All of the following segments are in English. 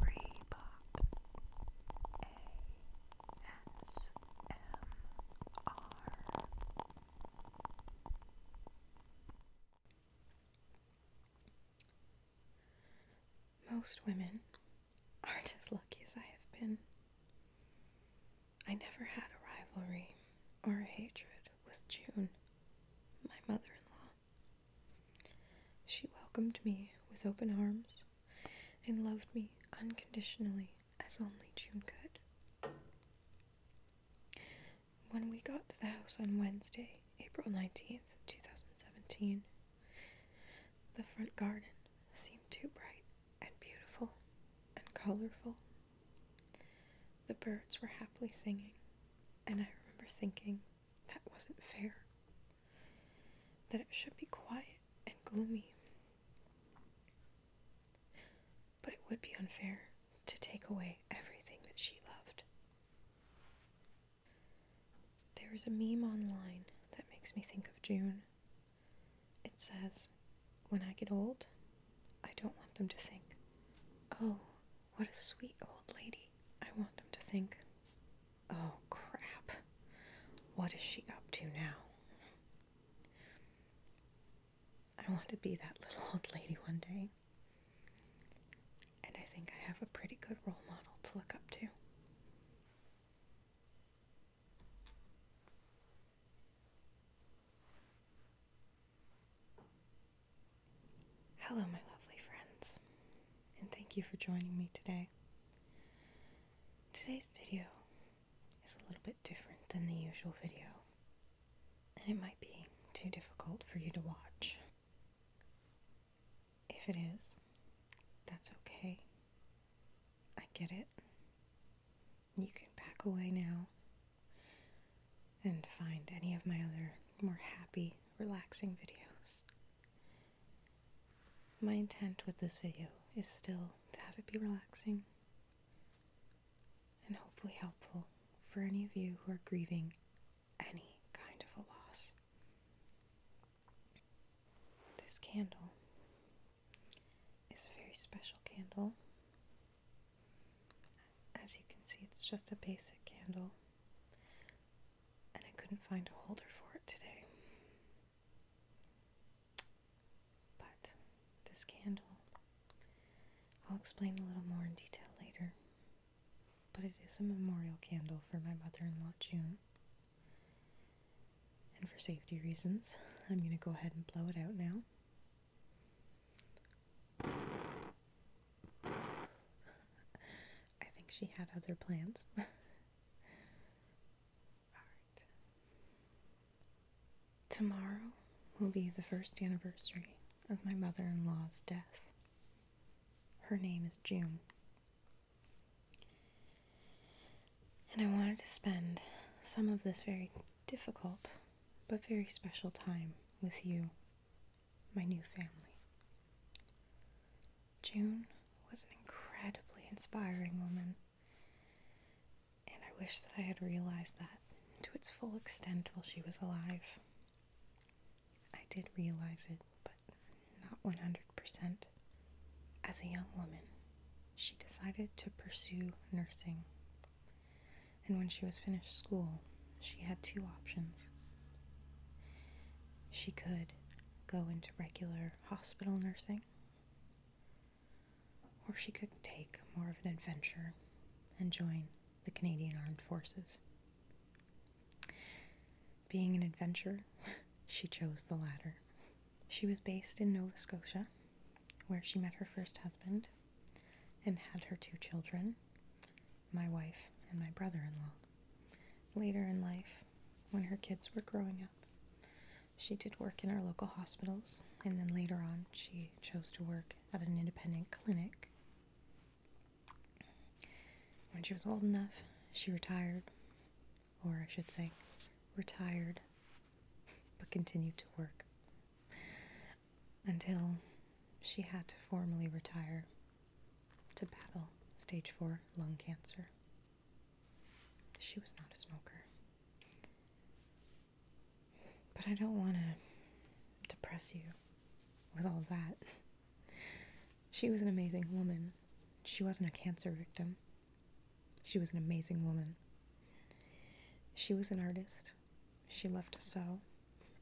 Bebop Most women aren't as lucky as I have been. I never had a rivalry or a hatred with June, my mother in law. She welcomed me with open arms and loved me unconditionally as only June could. When we got to the house on Wednesday, April 19th, 2017, the front garden seemed too bright and beautiful and colorful. The birds were happily singing, and I remember thinking, that wasn't fair. That it should be quiet and gloomy. But it would be unfair to take away everything that she loved. There is a meme online that makes me think of June. It says, When I get old, I don't want them to think, oh, what a sweet old lady, I want them to think. Oh, crap. What is she up to now? I want to be that little old lady one day. And I think I have a pretty good role model to look up to. Hello, my lovely friends, and thank you for joining me today. Today's video is a little bit different than the usual video, and it might be too difficult for you to watch. If it is, that's okay. I get it. You can back away now and find any of my other more happy, relaxing videos. My intent with this video is still to have it be relaxing and hopefully helpful for any of you who are grieving any kind of a loss. This candle is a very special candle. As you can see, it's just a basic candle, and I couldn't find a holder for it today. But this candle, I'll explain a little more in detail later, but it is a memorial candle for my mother in law, June. And for safety reasons, I'm going to go ahead and blow it out now. I think she had other plans. Tomorrow will be the first anniversary of my mother in law's death. Her name is June. And I wanted to spend some of this very difficult but very special time with you my new family. June was an incredibly inspiring woman, and I wish that I had realized that to its full extent while she was alive. I did realize it, but not 100%. As a young woman, she decided to pursue nursing and when she was finished school, she had two options. She could go into regular hospital nursing, or she could take more of an adventure and join the Canadian Armed Forces. Being an adventurer, she chose the latter. She was based in Nova Scotia, where she met her first husband, and had her two children, my wife and my brother in law. Later in life, when her kids were growing up, she did work in our local hospitals, and then later on, she chose to work at an independent clinic. When she was old enough, she retired, or I should say, retired, but continued to work until she had to formally retire to battle stage 4 lung cancer. She was not a smoker. But I don't want to depress you with all that. She was an amazing woman. She wasn't a cancer victim. She was an amazing woman. She was an artist she loved to sew,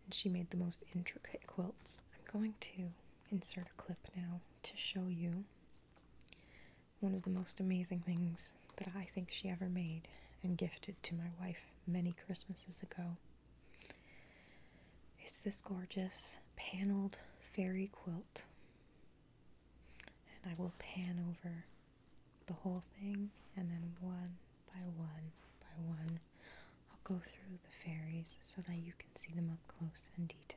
and she made the most intricate quilts. I'm going to insert a clip now to show you one of the most amazing things that I think she ever made and gifted to my wife many Christmases ago. It's this gorgeous paneled fairy quilt. And I will pan over the whole thing and then one, by one by one. I'll go through the fairies so that you can see them up close and detail.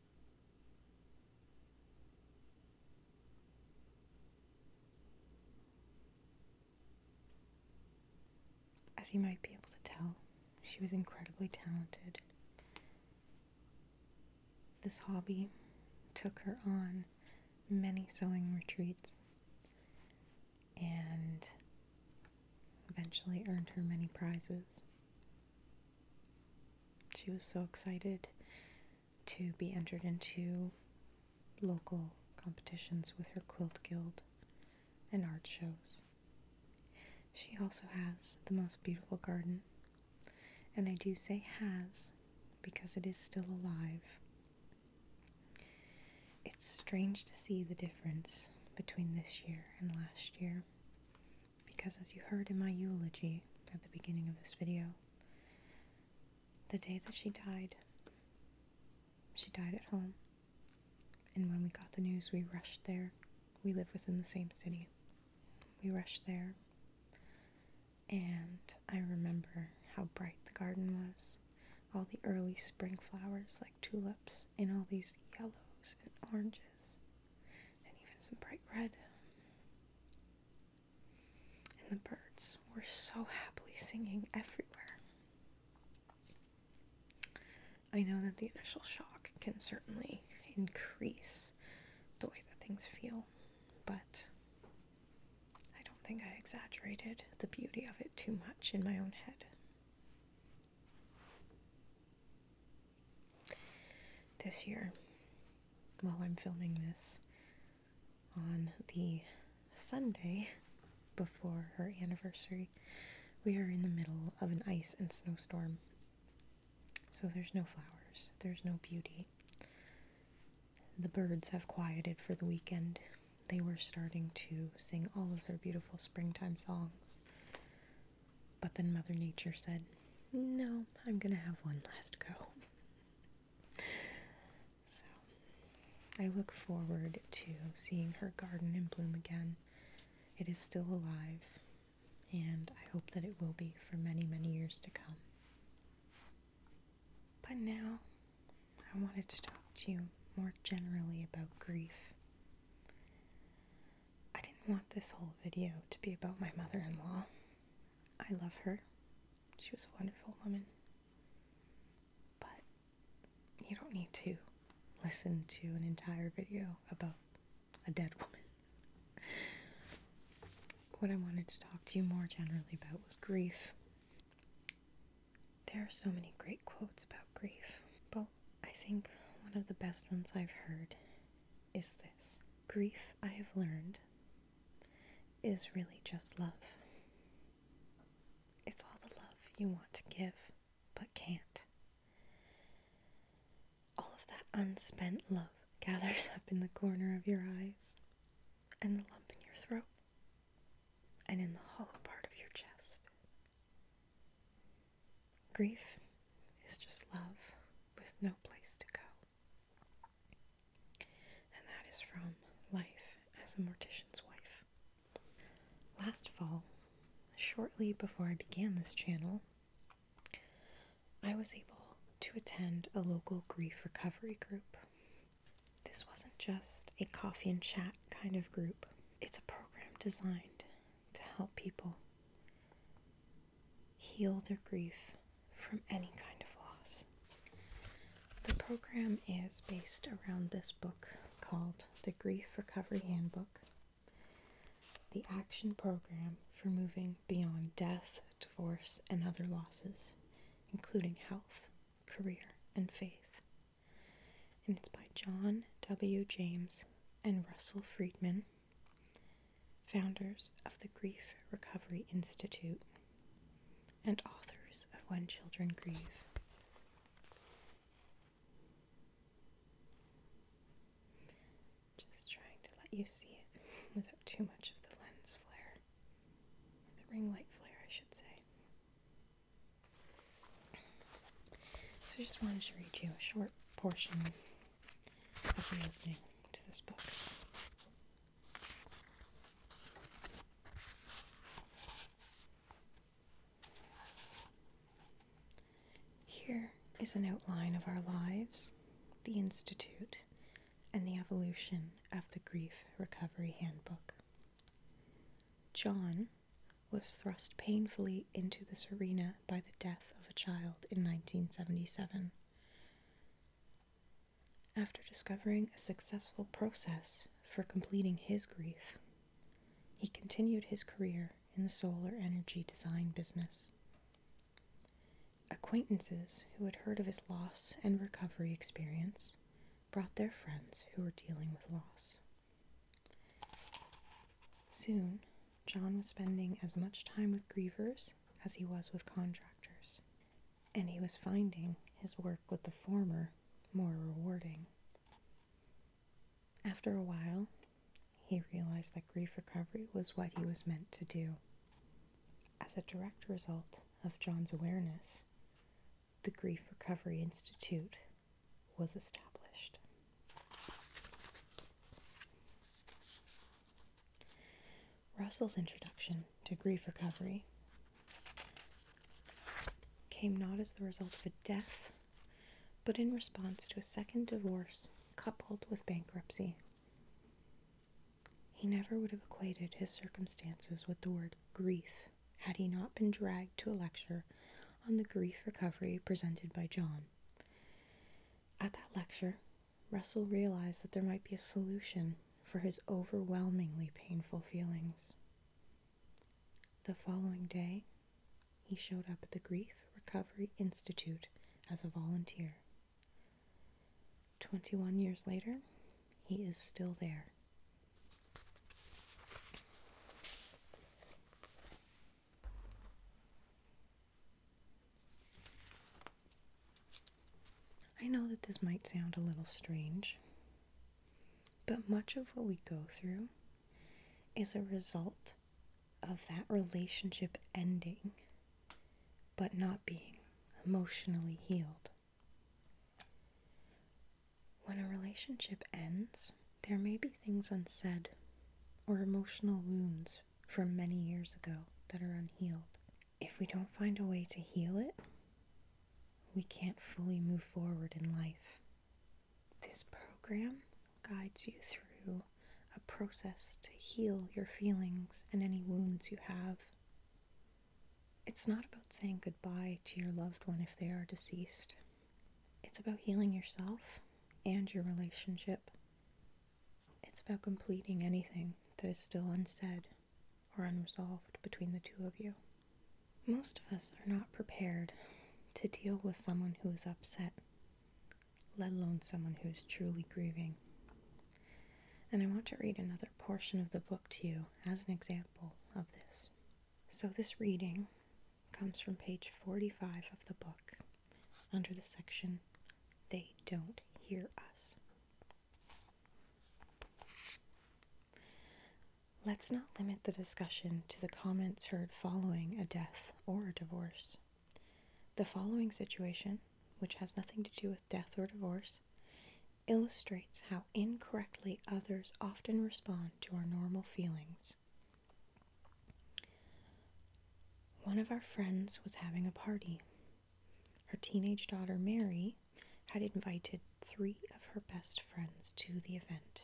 As you might be able to tell, she was incredibly talented. This hobby took her on many sewing retreats and eventually earned her many prizes. She was so excited to be entered into local competitions with her quilt guild and art shows. She also has the most beautiful garden, and I do say has because it is still alive. It's strange to see the difference between this year and last year because as you heard in my eulogy at the beginning of this video, the day that she died, she died at home. And when we got the news, we rushed there. We live within the same city. We rushed there. And I remember how bright the garden was. All the early spring flowers like tulips and all these yellows and oranges and even some bright red. And the birds were so happily singing everywhere. I know that the initial shock can certainly increase the way that things feel, but I don't think I exaggerated the beauty of it too much in my own head this year while I'm filming this on the Sunday before her anniversary. We are in the middle of an ice and snowstorm. So there's no flowers, there's no beauty. The birds have quieted for the weekend. They were starting to sing all of their beautiful springtime songs. But then Mother Nature said, No, I'm going to have one last go. So I look forward to seeing her garden in bloom again. It is still alive, and I hope that it will be for many, many years to come. But now, I wanted to talk to you more generally about grief. I didn't want this whole video to be about my mother in law. I love her, she was a wonderful woman. But you don't need to listen to an entire video about a dead woman. What I wanted to talk to you more generally about was grief. There are so many great quotes about grief, but I think one of the best ones I've heard is this grief, I have learned, is really just love. It's all the love you want to give but can't. All of that unspent love gathers up in the corner of your eyes and the lump in your throat and in the hollow part of your chest. Grief is just love with no place to go. And that is from Life as a Mortician's Wife. Last fall, shortly before I began this channel, I was able to attend a local grief recovery group. This wasn't just a coffee and chat kind of group, it's a program designed to help people heal their grief from any kind of loss. The program is based around this book called The Grief Recovery Handbook, the action program for moving beyond death, divorce, and other losses, including health, career, and faith. And it's by John W. James and Russell Friedman founders of the Grief Recovery Institute, and authors of When Children Grieve. Just trying to let you see it without too much of the lens flare, the ring light flare, I should say. So I just wanted to read you a short portion of an opening to this book. Here is an outline of our lives, the Institute, and the evolution of the Grief Recovery Handbook. John was thrust painfully into this arena by the death of a child in 1977. After discovering a successful process for completing his grief, he continued his career in the solar energy design business. Acquaintances who had heard of his loss and recovery experience brought their friends who were dealing with loss. Soon, John was spending as much time with grievers as he was with contractors, and he was finding his work with the former more rewarding. After a while, he realized that grief recovery was what he was meant to do. As a direct result of John's awareness, the Grief Recovery Institute was established. Russell's introduction to grief recovery came not as the result of a death, but in response to a second divorce coupled with bankruptcy. He never would have equated his circumstances with the word grief had he not been dragged to a lecture on the grief recovery presented by John at that lecture, Russell realized that there might be a solution for his overwhelmingly painful feelings. The following day, he showed up at the Grief Recovery Institute as a volunteer. 21 years later, he is still there. I know that this might sound a little strange, but much of what we go through is a result of that relationship ending, but not being emotionally healed. When a relationship ends, there may be things unsaid or emotional wounds from many years ago that are unhealed. If we don't find a way to heal it, we can't fully move forward in life. This program guides you through a process to heal your feelings and any wounds you have. It's not about saying goodbye to your loved one if they are deceased. It's about healing yourself and your relationship. It's about completing anything that is still unsaid or unresolved between the two of you. Most of us are not prepared to deal with someone who is upset, let alone someone who is truly grieving. And I want to read another portion of the book to you as an example of this. So, this reading comes from page 45 of the book under the section They Don't Hear Us. Let's not limit the discussion to the comments heard following a death or a divorce. The following situation, which has nothing to do with death or divorce, illustrates how incorrectly others often respond to our normal feelings. One of our friends was having a party. Her teenage daughter, Mary, had invited three of her best friends to the event.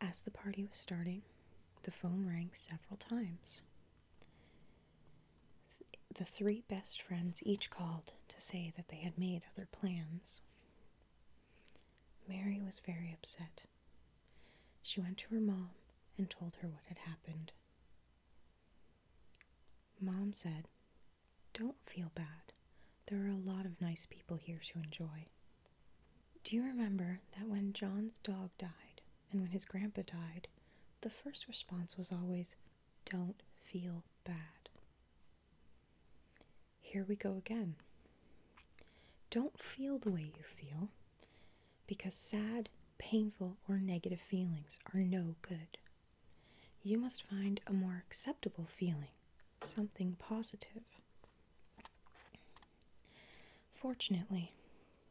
As the party was starting, the phone rang several times. The three best friends each called to say that they had made other plans. Mary was very upset. She went to her mom and told her what had happened. Mom said, Don't feel bad. There are a lot of nice people here to enjoy. Do you remember that when John's dog died and when his grandpa died, the first response was always, Don't feel bad? here we go again. Don't feel the way you feel because sad, painful, or negative feelings are no good. You must find a more acceptable feeling, something positive. Fortunately,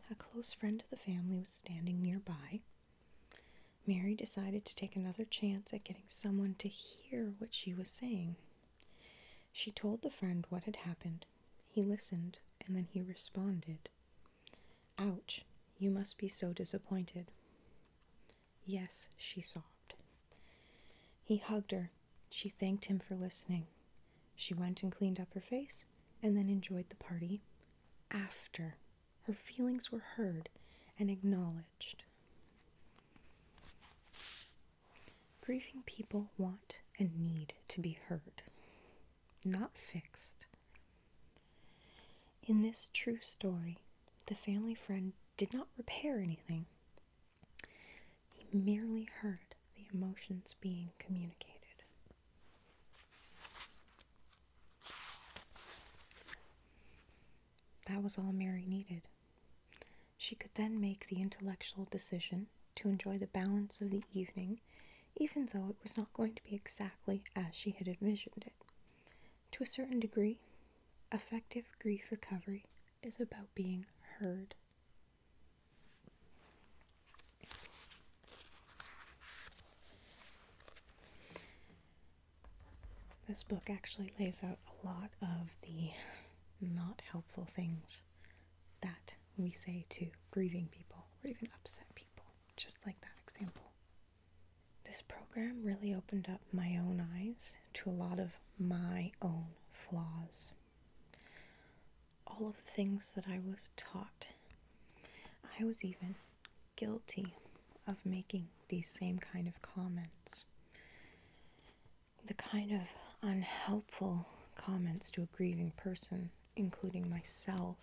a close friend of the family was standing nearby. Mary decided to take another chance at getting someone to hear what she was saying. She told the friend what had happened. He listened, and then he responded. Ouch, you must be so disappointed. Yes, she sobbed. He hugged her. She thanked him for listening. She went and cleaned up her face and then enjoyed the party after her feelings were heard and acknowledged. Grieving people want and need to be heard, not fixed. In this true story, the family friend did not repair anything. He merely heard the emotions being communicated. That was all Mary needed. She could then make the intellectual decision to enjoy the balance of the evening, even though it was not going to be exactly as she had envisioned it. To a certain degree, effective grief recovery is about being heard. This book actually lays out a lot of the not helpful things that we say to grieving people or even upset people, just like that example. This program really opened up my own eyes to a lot of my own flaws. All of the things that I was taught. I was even guilty of making these same kind of comments the kind of unhelpful comments to a grieving person, including myself,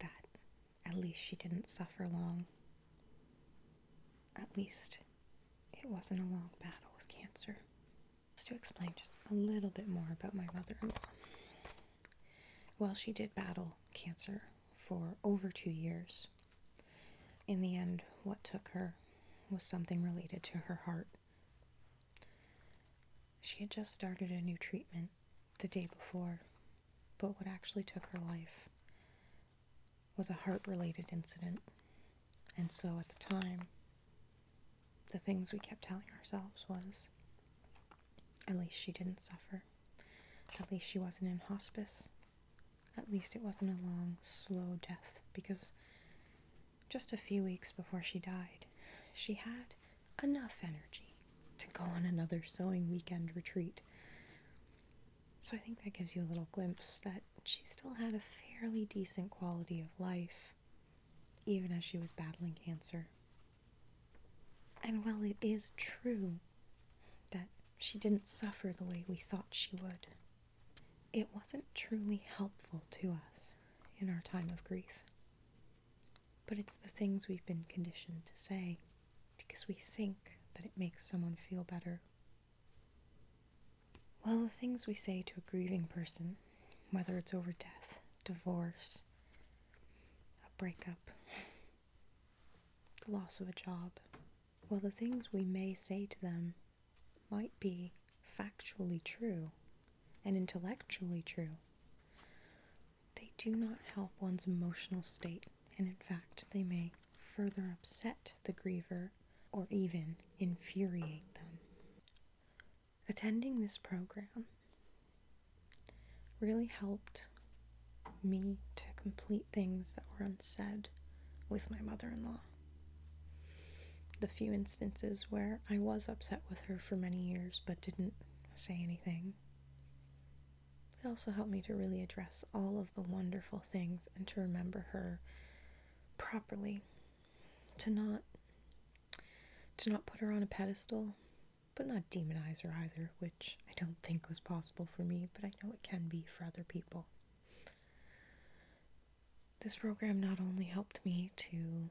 that at least she didn't suffer long. At least it wasn't a long battle with cancer. to explain just a little bit more about my mother in law. Well, she did battle cancer for over two years. In the end, what took her was something related to her heart. She had just started a new treatment the day before, but what actually took her life was a heart related incident. And so at the time, the things we kept telling ourselves was at least she didn't suffer, at least she wasn't in hospice, at least it wasn't a long, slow death, because just a few weeks before she died, she had enough energy to go on another sewing weekend retreat. So I think that gives you a little glimpse that she still had a fairly decent quality of life, even as she was battling cancer. And while it is true that she didn't suffer the way we thought she would. It wasn't truly helpful to us in our time of grief. But it's the things we've been conditioned to say because we think that it makes someone feel better. Well, the things we say to a grieving person, whether it's over death, divorce, a breakup, the loss of a job, while the things we may say to them might be factually true and intellectually true. They do not help one's emotional state, and in fact, they may further upset the griever or even infuriate them. Attending this program really helped me to complete things that were unsaid with my mother in law. The few instances where I was upset with her for many years but didn't say anything. It also helped me to really address all of the wonderful things and to remember her properly. To not to not put her on a pedestal, but not demonize her either, which I don't think was possible for me, but I know it can be for other people. This program not only helped me to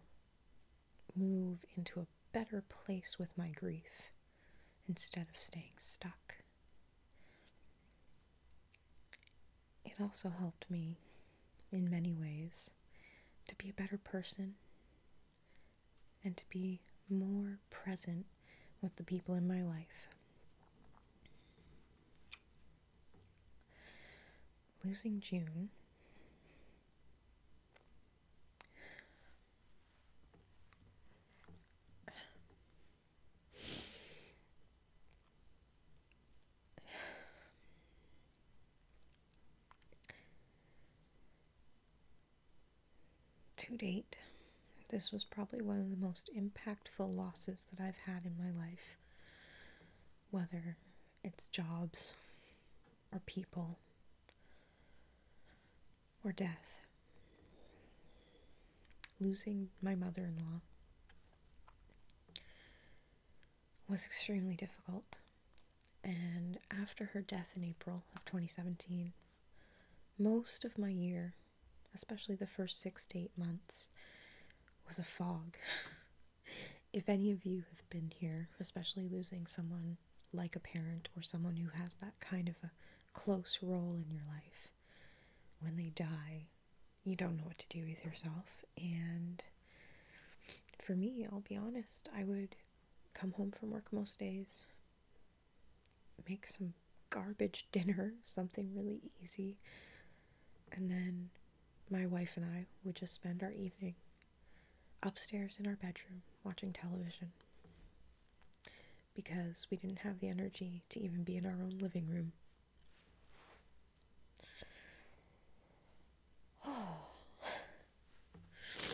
move into a better place with my grief instead of staying stuck, it also helped me in many ways to be a better person and to be more present with the people in my life. Losing June to date, this was probably one of the most impactful losses that I've had in my life, whether it's jobs or people or death. Losing my mother in law was extremely difficult. And after her death in April of 2017, most of my year especially the first six to eight months, was a fog. if any of you have been here, especially losing someone like a parent or someone who has that kind of a close role in your life, when they die, you don't know what to do with yourself. And for me, I'll be honest, I would come home from work most days, make some garbage dinner, something really easy. And then my wife and I would just spend our evening upstairs in our bedroom watching television because we didn't have the energy to even be in our own living room.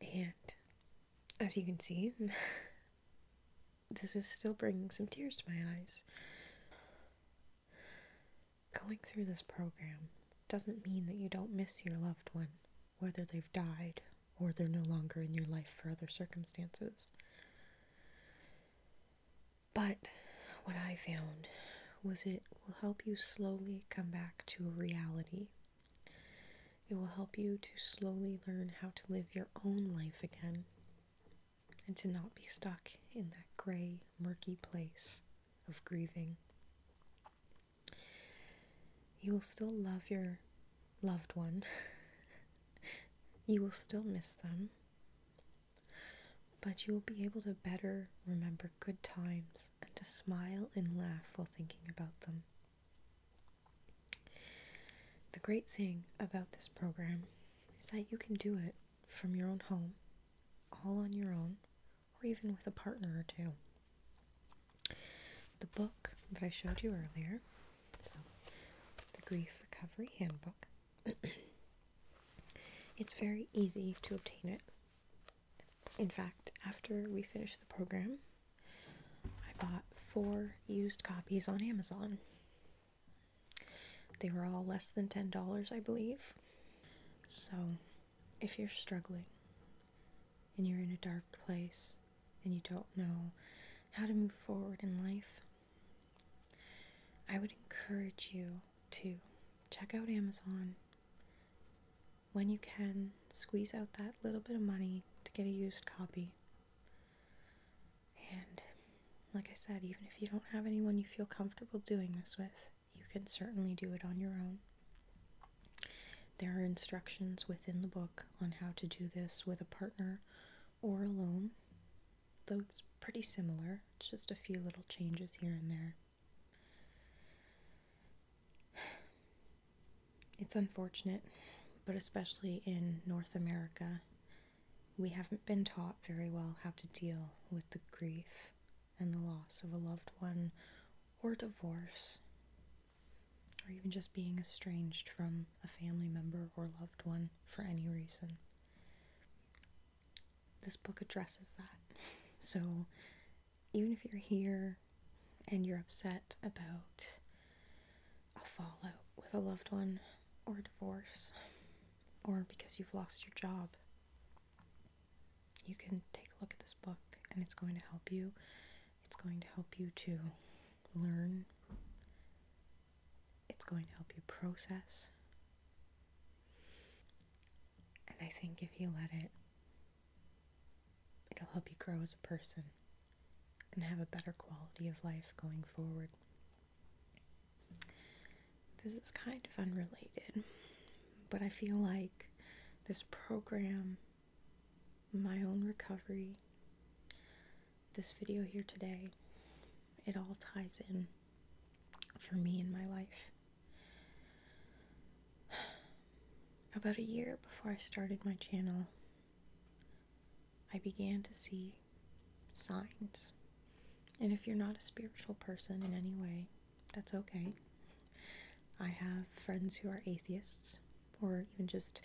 And as you can see, this is still bringing some tears to my eyes. Going through this program doesn't mean that you don't miss your loved one, whether they've died or they're no longer in your life for other circumstances. But what I found was it it will help you slowly come back to reality. It will help you to slowly learn how to live your own life again and to not be stuck in that gray, murky place of grieving. You will still love your loved one. you will still miss them. But you will be able to better remember good times and to smile and laugh while thinking about them. The great thing about this program is that you can do it from your own home, all on your own, or even with a partner or two. The book that I showed you earlier, so the Grief Recovery Handbook, it's very easy to obtain it in fact, after we finished the program, I bought four used copies on Amazon. They were all less than $10, I believe. So, if you're struggling and you're in a dark place and you don't know how to move forward in life, I would encourage you Two, check out Amazon when you can, squeeze out that little bit of money to get a used copy. And like I said, even if you don't have anyone you feel comfortable doing this with, you can certainly do it on your own. There are instructions within the book on how to do this with a partner or alone, though it's pretty similar, it's just a few little changes here and there. It's unfortunate, but especially in North America, we haven't been taught very well how to deal with the grief and the loss of a loved one or divorce or even just being estranged from a family member or loved one for any reason this book addresses that. So even if you're here and you're upset about a fallout with a loved one or a divorce or because you've lost your job, you can take a look at this book and it's going to help you. It's going to help you to learn. It's going to help you process and I think if you let it, it'll help you grow as a person and have a better quality of life going forward. This is kind of unrelated, but I feel like this program, my own recovery, this video here today, it all ties in for me in my life. About a year before I started my channel, I began to see signs. And if you're not a spiritual person in any way, that's okay. I have friends who are atheists or even just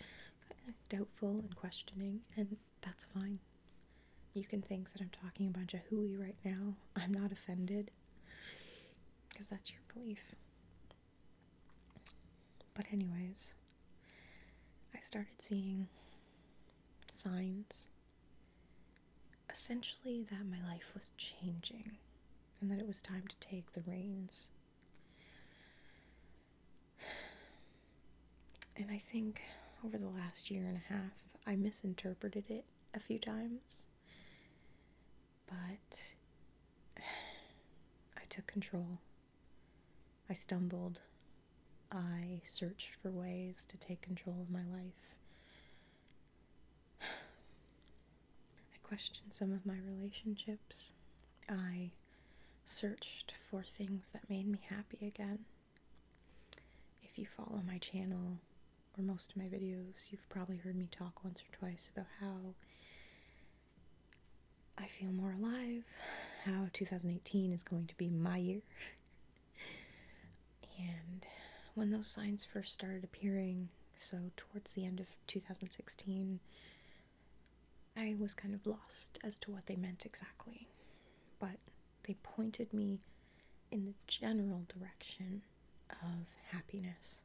doubtful and questioning, and that's fine. You can think that I'm talking a bunch of hooey right now. I'm not offended because that's your belief. But, anyways, I started seeing signs essentially that my life was changing and that it was time to take the reins. And I think over the last year and a half, I misinterpreted it a few times, but I took control. I stumbled. I searched for ways to take control of my life. I questioned some of my relationships. I searched for things that made me happy again. If you follow my channel or most of my videos, you've probably heard me talk once or twice about how I feel more alive, how 2018 is going to be my year. and when those signs first started appearing, so towards the end of 2016, I was kind of lost as to what they meant exactly. But they pointed me in the general direction of happiness.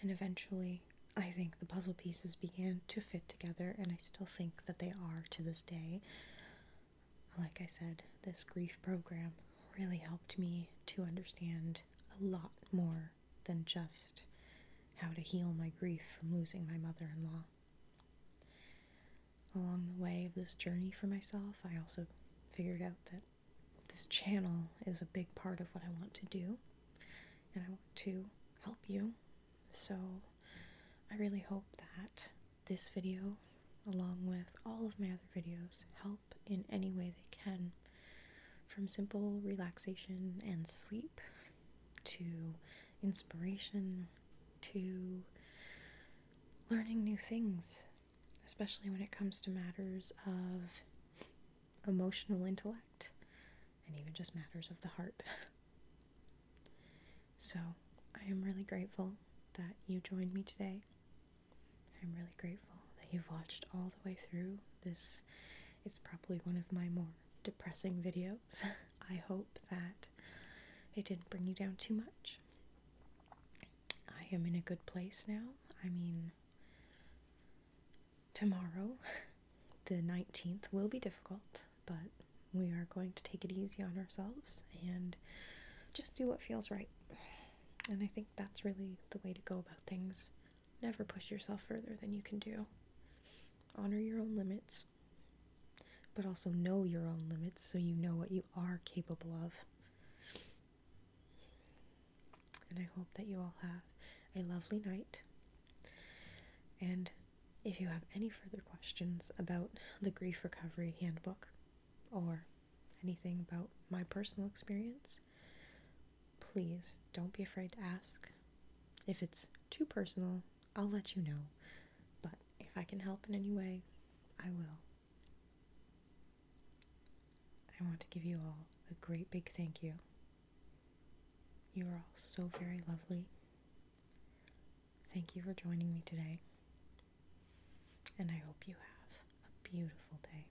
And eventually, I think the puzzle pieces began to fit together, and I still think that they are to this day. Like I said, this grief program really helped me to understand a lot more than just how to heal my grief from losing my mother in law along the way of this journey for myself, I also figured out that this channel is a big part of what I want to do, and I want to help you. So I really hope that this video, along with all of my other videos, help in any way they can. From simple relaxation and sleep to inspiration to learning new things, especially when it comes to matters of emotional intellect and even just matters of the heart. so, I am really grateful that you joined me today. I'm really grateful that you've watched all the way through this. It's probably one of my more depressing videos. I hope that it didn't bring you down too much. I am in a good place now. I mean, tomorrow, the 19th, will be difficult, but we are going to take it easy on ourselves and just do what feels right. And I think that's really the way to go about things. Never push yourself further than you can do. Honor your own limits but also know your own limits so you know what you are capable of. And I hope that you all have a lovely night. And if you have any further questions about the Grief Recovery Handbook or anything about my personal experience, please don't be afraid to ask. If it's too personal, I'll let you know. But if I can help in any way, I will. I want to give you all a great big thank you. You are all so very lovely. Thank you for joining me today. And I hope you have a beautiful day.